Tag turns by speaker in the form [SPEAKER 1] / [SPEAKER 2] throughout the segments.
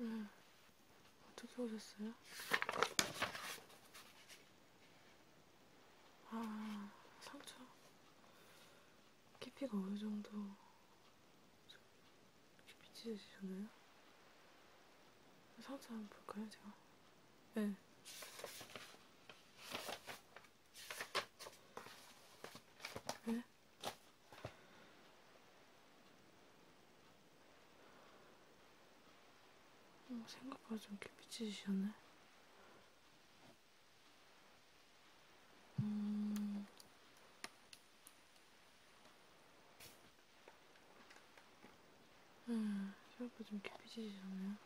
[SPEAKER 1] 음, 어떻게 오셨어요? 아, 상처. 깊이가 어느 정도 깊이 찢어지셨나요? 상처 한번 볼까요, 제가? 네. 네? 어, 생각보다 좀 깊이 찢으셨네. 음... 음, 생각보다 좀 깊이지시잖아요.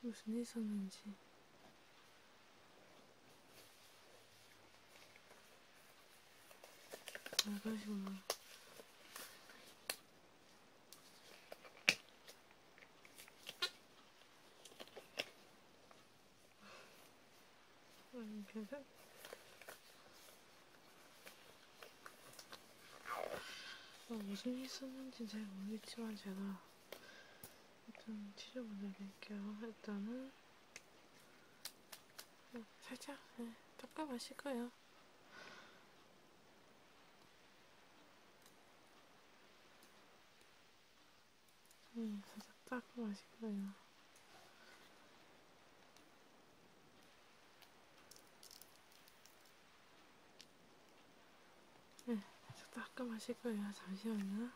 [SPEAKER 1] 무슨 일 있었는지. 아, 그러시구나. 아니, 계속 어, 무슨 일 썼는지 잘 모르겠지만 제가 일단 치료 보내드릴게요. 일단은 어, 살짝 네, 닦아마실 거예요. 거야. 음, 진짜 딱 맛있구나. 네, 저 따끔하실 거예요. 잠시만요.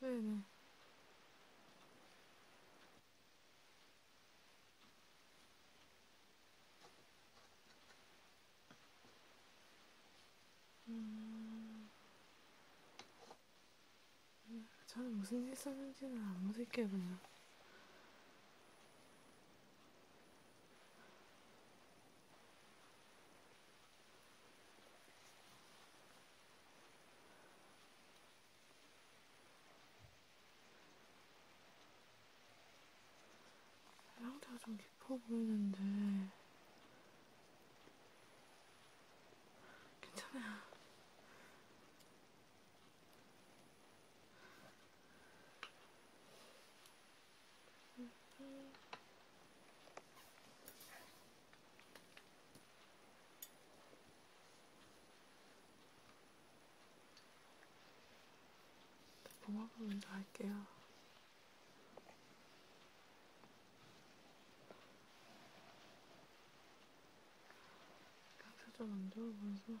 [SPEAKER 1] 왜, 왜. 음... 저는 무슨 일 썼는지는 안 무색해 그냥 상태가 좀 깊어 보이는데 괜찮아요. 봉합을 먼저 할게요. 표정 안 좋아 보여서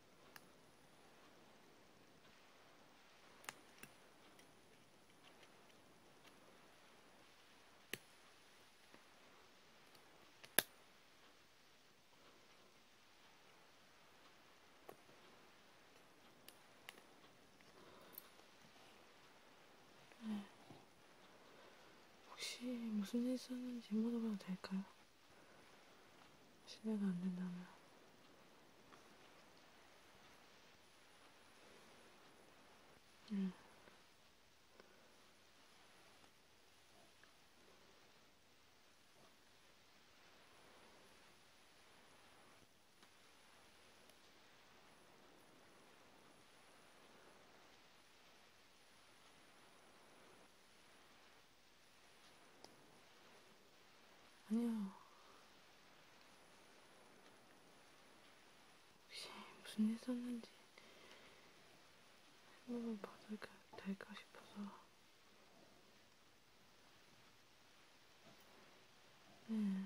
[SPEAKER 1] 네. 혹시 무슨 일 썼는지 물어봐도 될까요? 실례가 안 된다면 응. 음. 아니요. 혹시 무슨 일 있었는지 행복을 받을까 될까 싶어서. 네.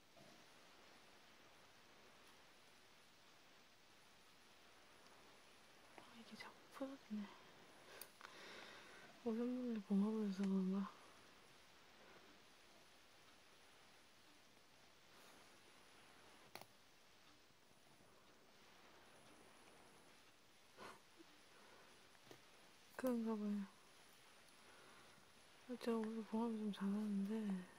[SPEAKER 1] 아, 이게 자꾸 풀어지네. 오랜만에 봉합을해서 그런가? 그런가 봐요. 제가 원래 봉합을 좀 잘하는데,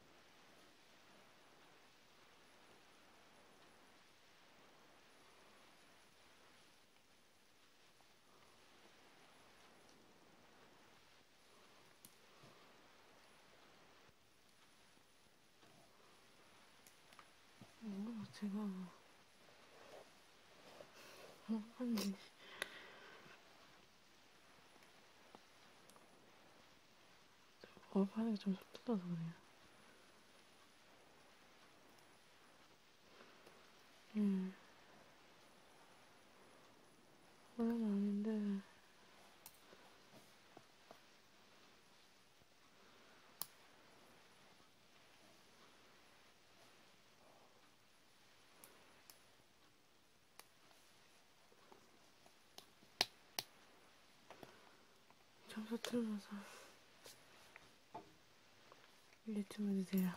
[SPEAKER 1] 뭔가 제가 뭐, 뭔가 업하는 게좀 속도라서 그래요. 음. 예. 원래는 아닌데. 잠수 틀면서 유튜브 주세요.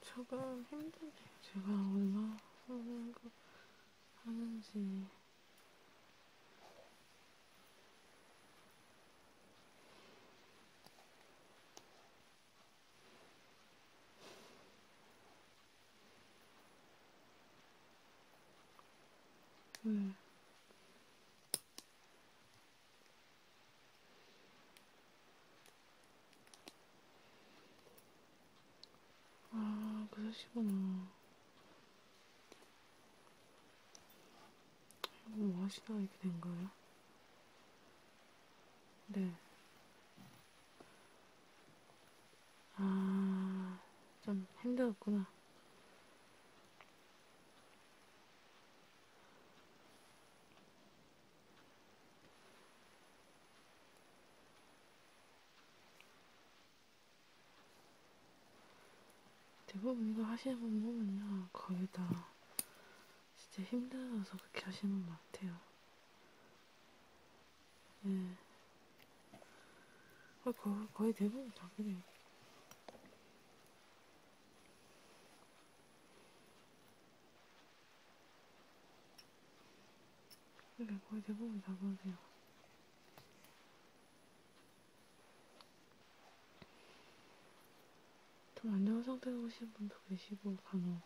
[SPEAKER 1] 조금 힘드네요. 제가 얼마 하는 거 하는지. 음. 아, 그러시구나. 이거 뭐 하시다 이렇게 된 거예요? 네. 아, 좀 힘들었구나. 대부분 이거 하시는 분 보면요, 거의 다 진짜 힘들어서 그렇게 하시는 것 같아요. 예. 아, 거의, 거의 대부분 다 그래. 그래, 네, 거의 대부분 다 그러세요. 좀 안 좋은 상태로 오신 분도 계시고, 간혹.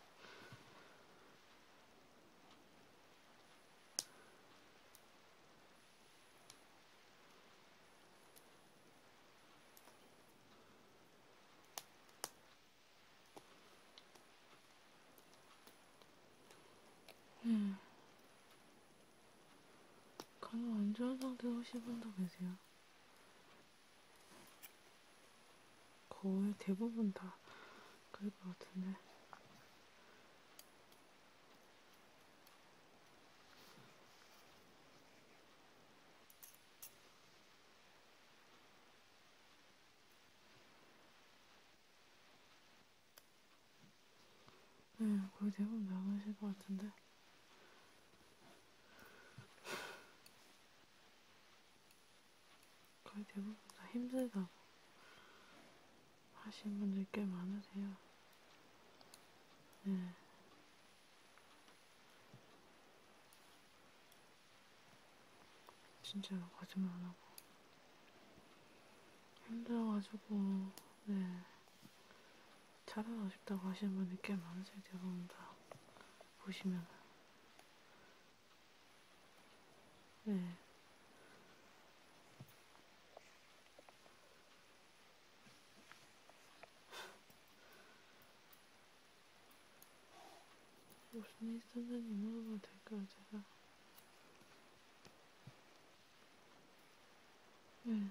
[SPEAKER 1] 네. 간이 안 좋은 상태 훨씬 분도 계세요. 거의 대부분 다 그럴 것 같은데. 네, 거의 대부분 남으실 것 같은데. 거의 대부분 다 힘들다고 하시는 분들 꽤 많으세요. 네. 진짜로 거짓말 안 하고 힘들어가지고 네 자라고 싶다고 하시는 분들 꽤 많으세요. 대부분 다 보시면 네. 무슨 일 있었는지 물어봐도 될까요, 제가? 네.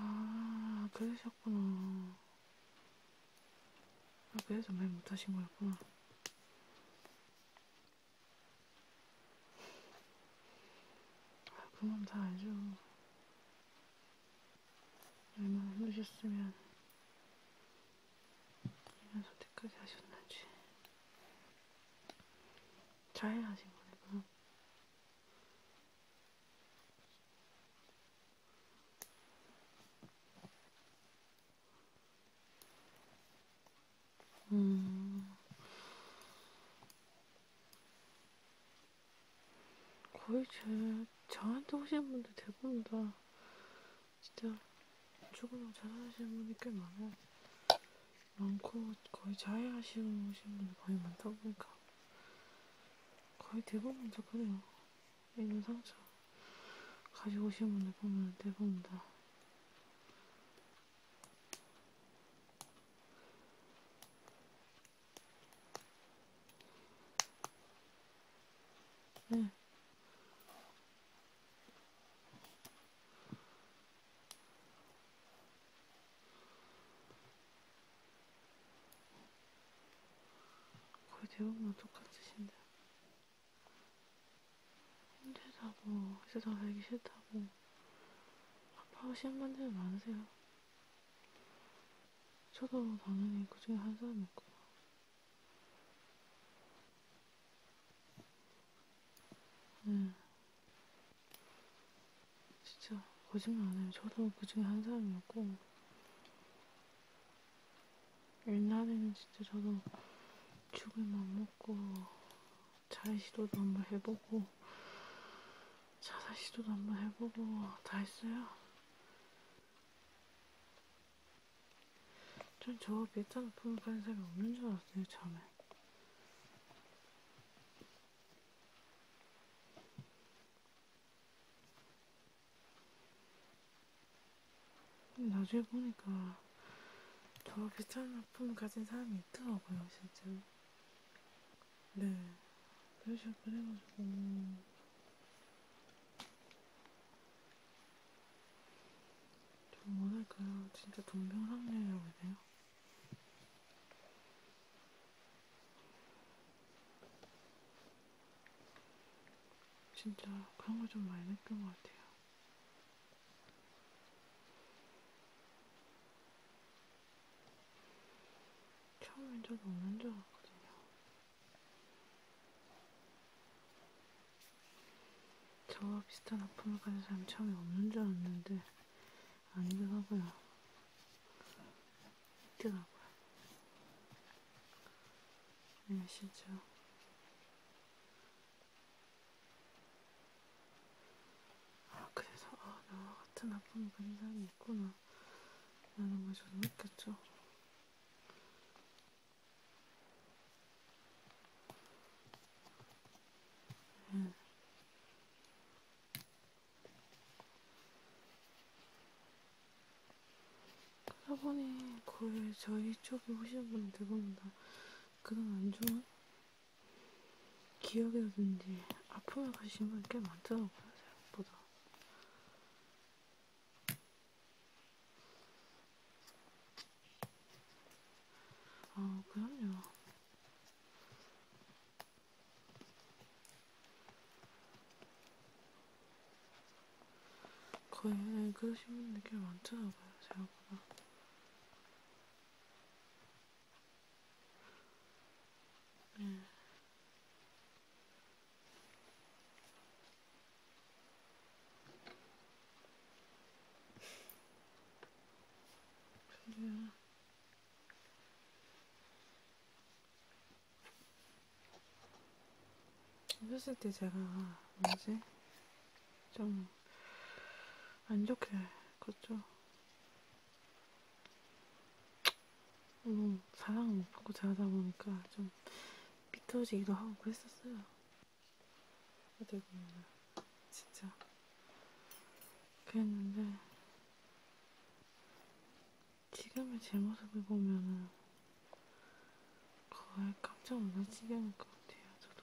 [SPEAKER 1] 아, 그러셨구나. 아, 그래서 말 못하신 거였구나. 그건 다 알죠. 얼마나 힘드셨으면 이런 선택까지 하셨는지 자해하신 거네요. 음, 거의 제, 저한테 오시는 분들 대부분 다 진짜 조금만 잘하시는 분이 꽤 많아요. 많고 거의 자해하시는 분이 거의 많다 보니까 거의 대부분 다 그래요. 있는 상처 가지고 오시는 분들 보면 대부분 다 응. 네. 거의 대부분 똑같으신데 힘들다고 회사 다니기 싫다고 아빠가 시험반대는 많으세요. 저도 당연히 그 중에 한 사람이었고요. 네. 진짜 거짓말 안 해요. 저도 그 중에 한 사람이었고 옛날에는 진짜 저도 죽을 맘 먹고 자의 시도도 한번 해보고 자살 시도도 한번 해보고 다 했어요. 전저 밑에 높은 파는 사람이 없는 줄 알았어요 처음에. 나중에 보니까 저 비슷한 아픔을 가진 사람이 있더라고요, 진짜. 네. 그래서 그래가지고 좀 뭐랄까요? 진짜 동병상련이라고 해야 돼요? 진짜 그런 걸좀 많이 느낀 것 같아요. 처음엔 저도 없는 줄 알았거든요. 저와 비슷한 아픔을 가진 사람이 처음에 없는 줄 알았는데 아니더라고요. 있더라고요. 네, 진짜 아, 그래서, 아, 나와 같은 아픈 분이 있구나. 라는 걸 저는 느꼈죠. 네. 음. 그러다 보니 거의 그 저희 쪽에 오시는 분들보다 그런 안 좋은 기억이라든지 아픔을 가지신 분이 꽤 많더라고요, 생각보다. 아, 그럼요. 거의 그러신 분들 꽤 많더라고요, 생각보다. 음. 그래요. 어렸을 때 제가 뭐지? 좀 안 좋게 컸죠. 너무 음, 사랑을 못 받고 자다 보니까 좀 삐뚤어지기도 하고 그랬었어요. 어떻게 보면 진짜 그랬는데 지금의 제 모습을 보면은 거의 깜짝 놀랄 지경일 것 같아요. 저도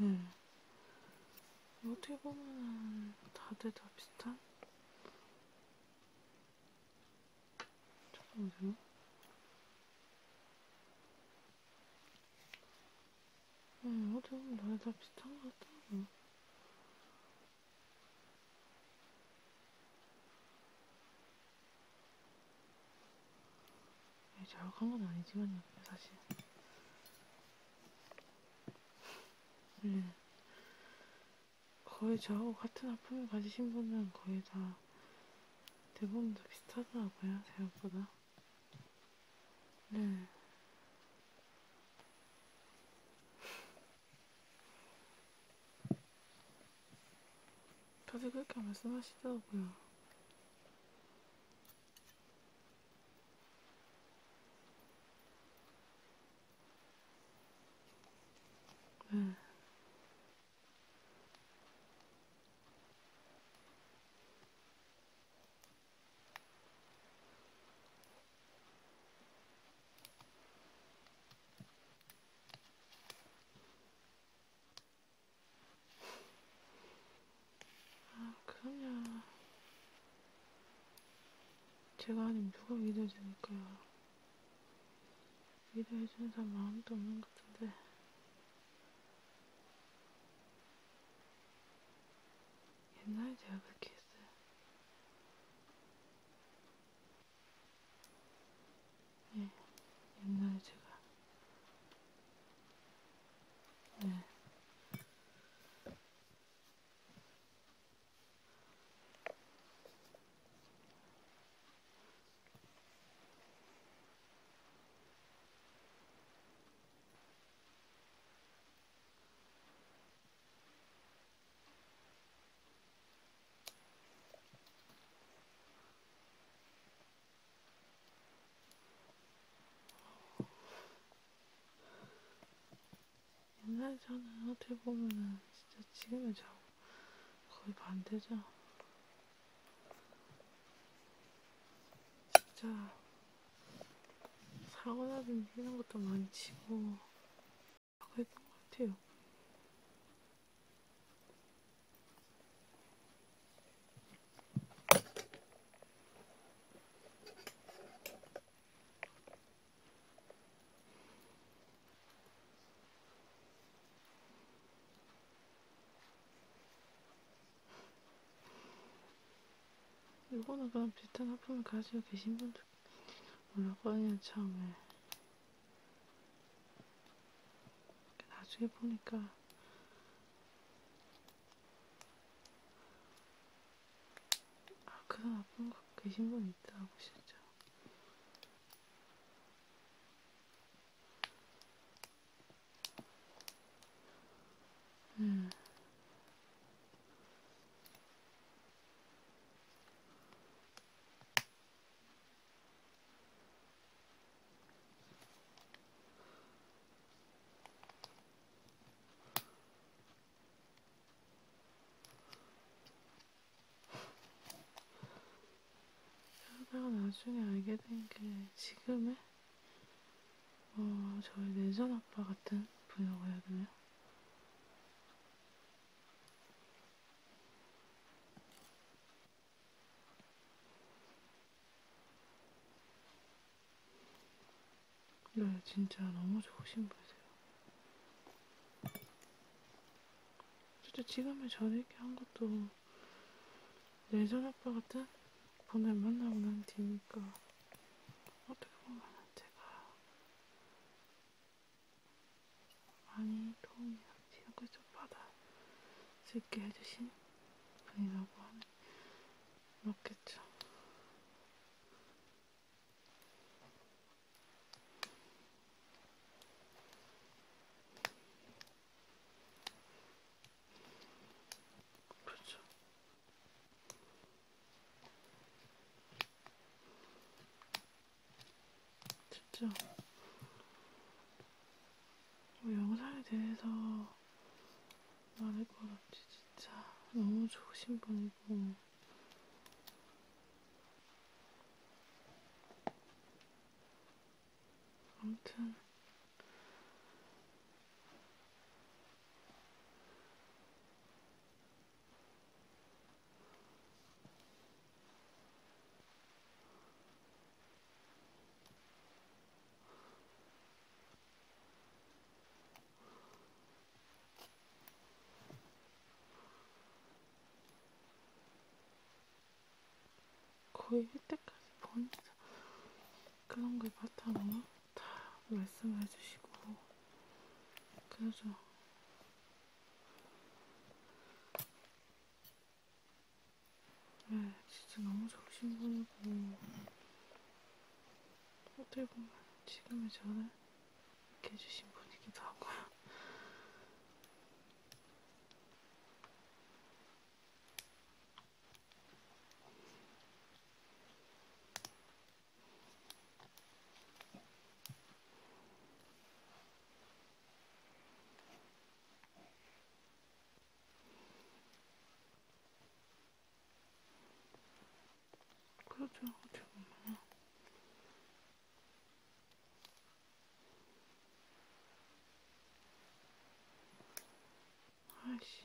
[SPEAKER 1] 음. 어떻게 보면 다들 다 비슷한? 잠깐만요. 음, 어떻게 보면 다들 다 비슷한 것 같다고. 잘못한 네, 건 아니지만요, 사실. 원래 네. 거의 저하고 같은 아픔을 가지신 분은 거의 다 대부분 다 비슷하더라고요, 생각보다. 네. 다들 그렇게 말씀하시더라고요. 네. 아, 그럼요. 제가 아닌 누가 믿어주니까요. 믿어해주는 사람 마음도 없는 것 같은데. 옛날에 제가 그렇게 했어요. 네, 옛날에 제가 네. 옛날 저는 어떻게 보면은 진짜 지금의 저하고 거의 반대죠. 진짜 사고나든 이런 것도 많이 치고 그랬던 것 같아요. 일본은 그런 비슷한 아픔을 가지고 계신 분들 올라가냐 참에 네. 나중에 보니까 아 그런 나쁜 거 계신 분 있더라고 진짜. 음. 제가 나중에 알게 된 게 지금의 어, 저희 내전 아빠 같은 분이라고 해야 되나요? 네, 진짜 너무 좋으신 분이세요. 진짜 지금의 저를 이렇게 한 것도 예전 아빠 같은 분을 만나고 난 뒤니까 어떻게 보면 제가 많이 도움이나 지역을 좀 받아 수 있게 해주신 분이라고 하면 맞겠죠. 그렇죠. 진짜 뭐 영상에 대해서 말할 것 없지 진짜 너무 좋으신 분이고 아무튼 거의 이때까지 보니까 그런 걸 바탕으로 다 말씀해 주시고 그래서 네, 진짜 너무 정신분이고 어떻게 보면 지금의 저를 이렇게 해주신 분이기도 하고요. 그렇죠. 어떻게 보면. 아이씨.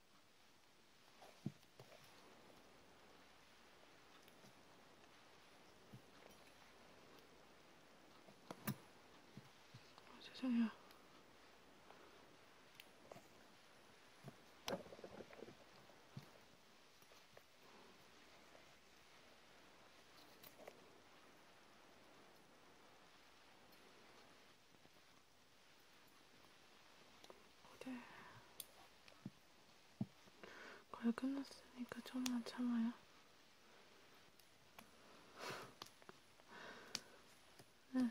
[SPEAKER 1] 세상에. 그래. 네. 거의 끝났으니까 좀만 참아요. 네.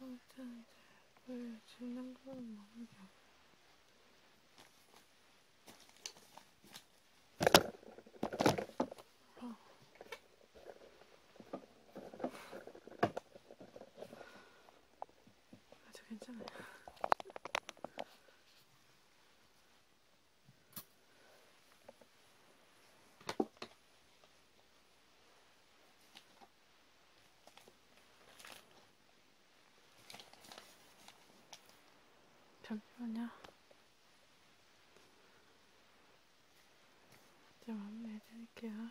[SPEAKER 1] 일단 이제 물 죽는 거는 먹으려 어. 아주 괜찮아요. 잠시만요. 좀 안내해 드릴게요.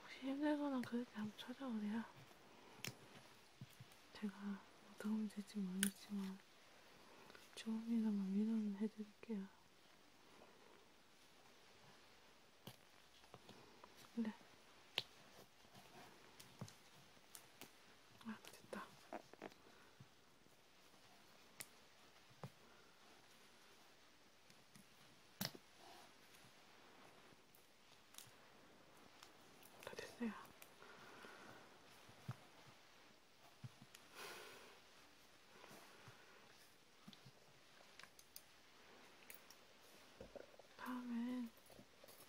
[SPEAKER 1] 혹시 힘들거나 그럴 때 한번 찾아오세요. 제가 뭐 도움이 될지 모르겠지만 조금이나마 위로는 해드릴게요. 네. 아 됐다. 다 됐어요. 다음엔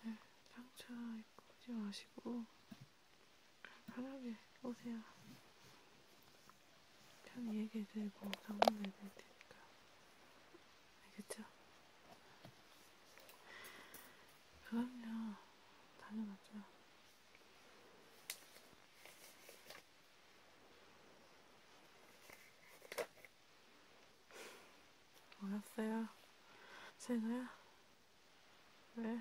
[SPEAKER 1] 네, 상처 입고 오지 마시고 편하게 오세요. 편히 얘기해드리고 상담해드릴 테니까. 알겠죠? 그럼요. 당연하죠. 어렸어요? 세노야? 왜?